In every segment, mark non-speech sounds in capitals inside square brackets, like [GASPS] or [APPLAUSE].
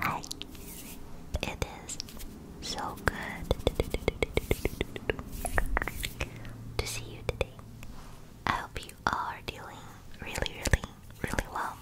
Hi, it is so good to see you today. I hope you are doing really, really, really well.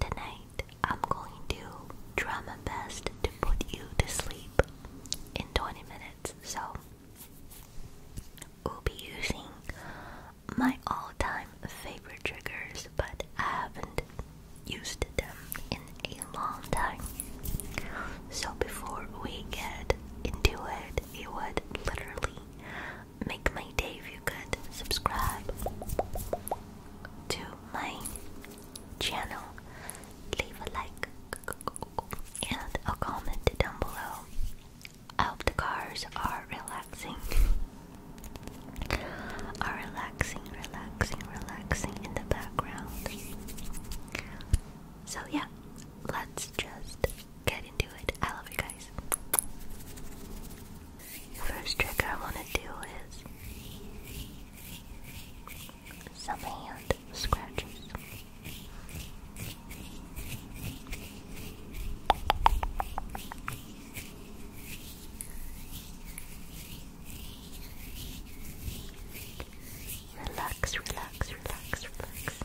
Tonight, I'm going to try my best to put you to sleep in 20 minutes. So, we'll be using my all time favorite triggers, but I haven't used them in a long time. So, before we get into it, it would literally Make my day feel good. subscribe to my channel. Leave a like and a comment down below. I hope the cars are relaxing. Are relaxing, relaxing, relaxing in the background. So yeah, let's just get into it. I love you guys. First trick I want to do is some hand scratches. Relax, relax, relax, relax.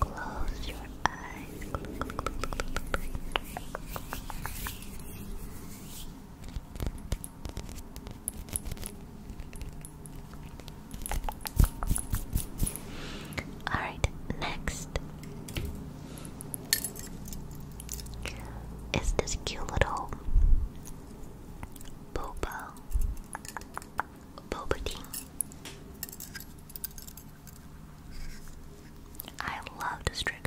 Close your eyes. All right, next is this cute little boba boba I love this trigger.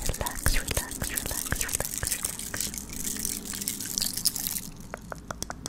Relax, relax, relax, relax, relax.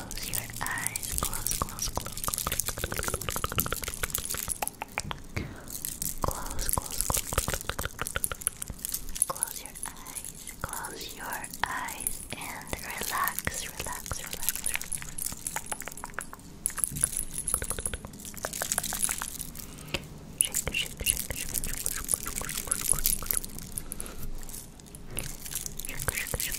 close your eyes. Close, close, close, close, close, close, close, close. Close your eyes. Close your eyes and relax, relax, relax, relax. Shake, shake, shake, shake. Shake, shake, shake, shake, shake.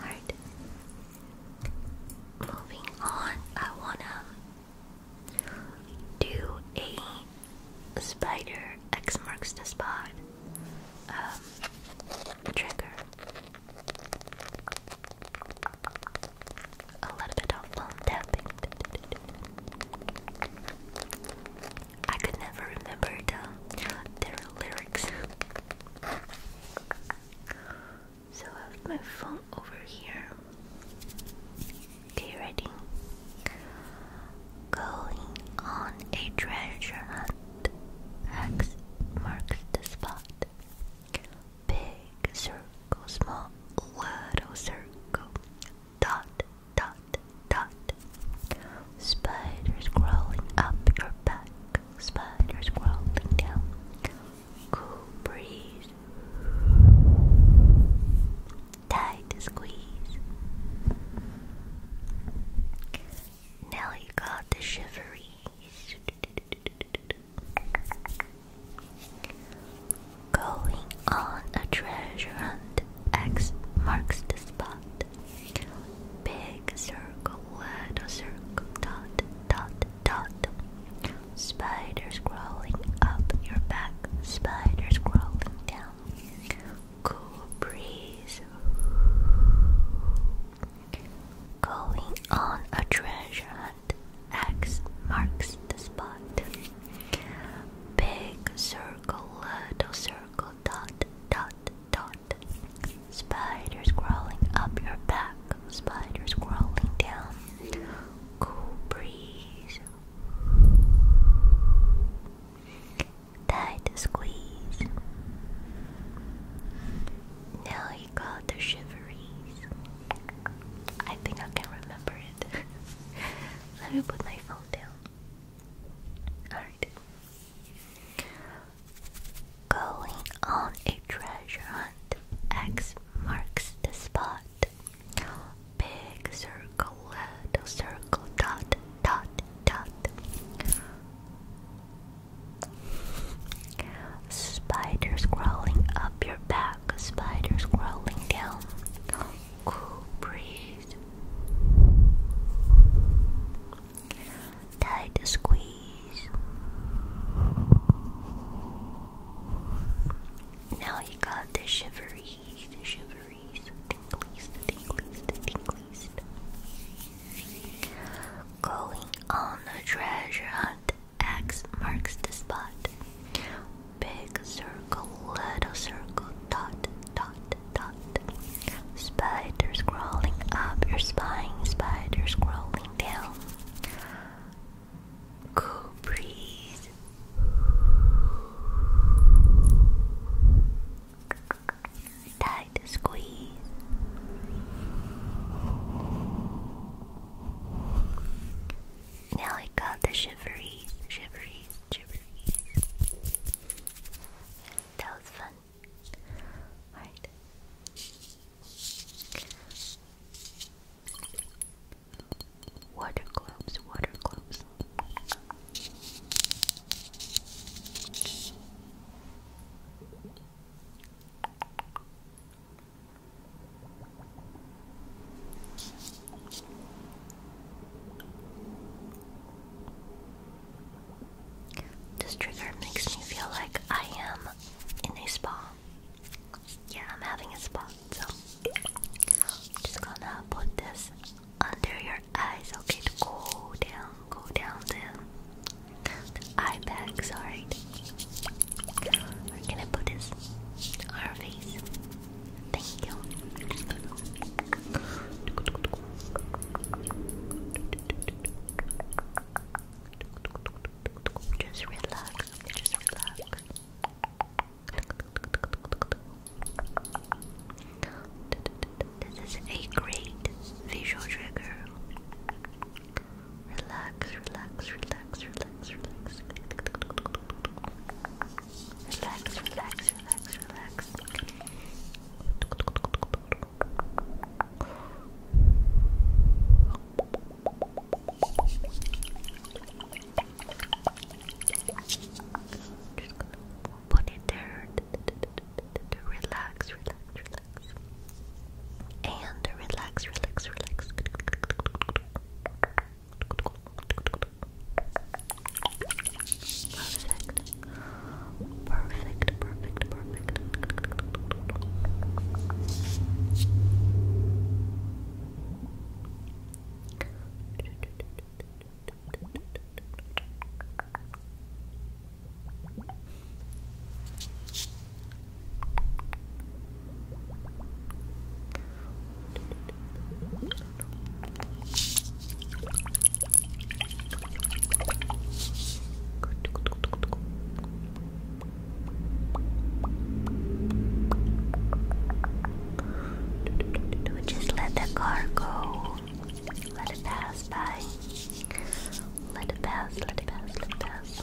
Alright. Moving on, I wanna do a spider X marks the spot um, trigger a little bit of phone I could never remember the lyrics. So have my phone over here. Okay, ready? Going on a treasure hunt. X marks the spot. Big circle, small little circle. Dot, dot, dot. Spiders crawling up your back. Spiders crawling down. Cool breeze. Tight squeeze. Now you got the shiveries. Going on a treasure hunt. X marks the spot. Big circle, little circle, dot, dot, dot. Spiders crawling up your back, spiders crawling down. Cool breeze. Going on a treasure X marks the spot. Big circle, little circle, dot, dot, dot. Spiders crawling up your back, spiders crawling down. Cool breeze. Tight squeeze. Now you got the shiveries. I think I can remember it. [LAUGHS] Let me put my phone down. Alright. Going on a treasure hunt. X marks the spot. Big circle, little circle, dot, dot, dot. Spiders crawling up your back, spiders crawling down. Cool breeze. Tight squeeze. Now you got the shiveries, the shiveries, the tinglies, Going on a treasure hunt X marks the spot. Big circle, little circle, dot, dot, dot. Spider crawling up your spine, spider crawling down. Cool breeze. Tight squeeze. Now I got the shiveries, shiveries, shiveries. That fun. Alright. Water globes, water globes. This trigger makes me feel like I am in a spa. Yeah, I'm having a spa, so I'm just gonna put this under your eyes, okay, go down, go down, down eye bags, alright. We're gonna put this on our face. Thank you. just relax. This is a great visual trigger. Relax, relax, relax, relax, relax. Relax, relax, relax, relax. Just gonna put it there. Relax, relax, relax. And relax, relax, relax. Perfect, perfect, perfect. Perfect. Just let the car go. Let it pass by. Let it pass, let it pass, let it pass.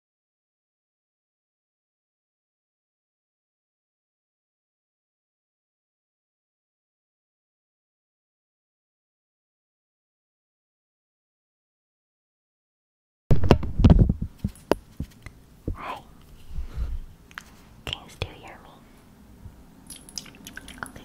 Hi. Can you still hear me? Okay.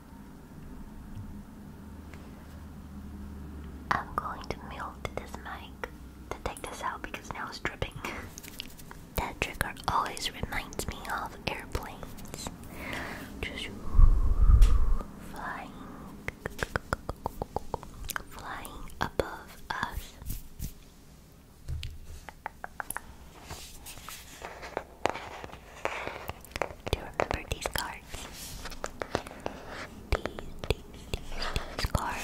I'm going to mute this mic to take this out because now it's dripping. [LAUGHS] that trigger always reminds me of airplanes. flying, flying above us. Do you remember these cards? These, these, these, cards.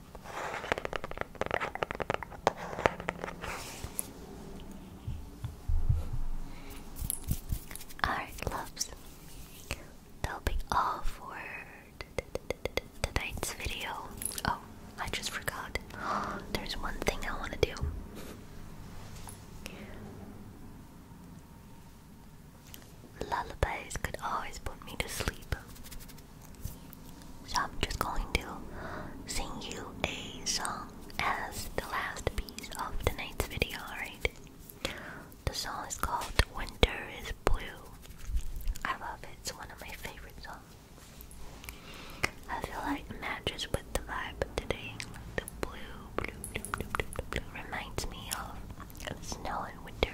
Alright, loves. That'll be all for tonight's video. Oh, I just forgot. [GASPS] There's one thing I want to do. Lullabies could always put me to sleep. So I'm just going to sing you a song as the last piece of tonight's video, alright? The song is called Winter is Blue. I love it, it's one of my favorite songs. I feel like it matches with the vibe today. The blue, blue, blue, blue, blue, reminds me of snow and winter.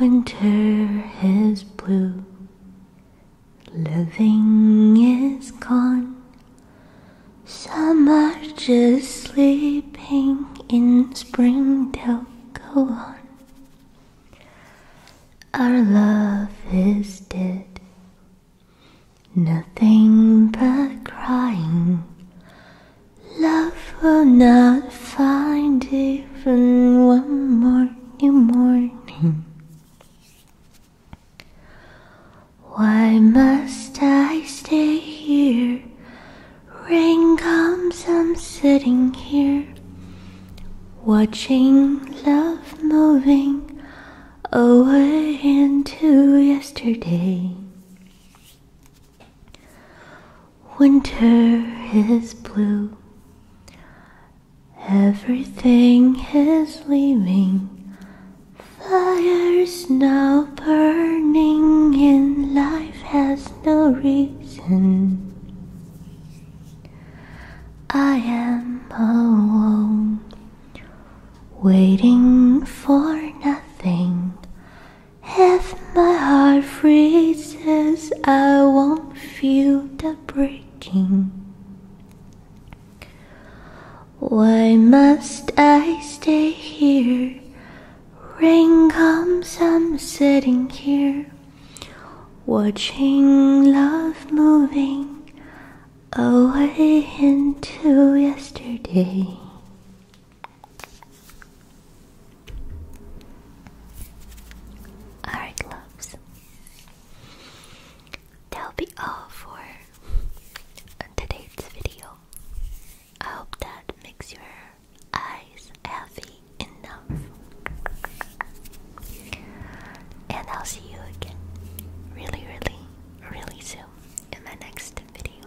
Winter is blue, living is gone. Summer just sleeping in spring, they'll go on. Our love is dead, nothing but crying. Love will not find even one morning morning. Why must I stay here? Rain comes, I'm sitting here, watching love moving away into yesterday. Winter is blue, everything is leaving. Fires now burning, and life has no reason. I am alone, waiting for nothing. If my heart freezes, I won't feel the breaking. Why must I stay here? Rain comes, I'm sitting here, watching love moving away into yesterday. Alright, loves. That'll be all for today's video. I hope that makes your eyes healthy enough. And I'll see you again really, really, really soon in my next video.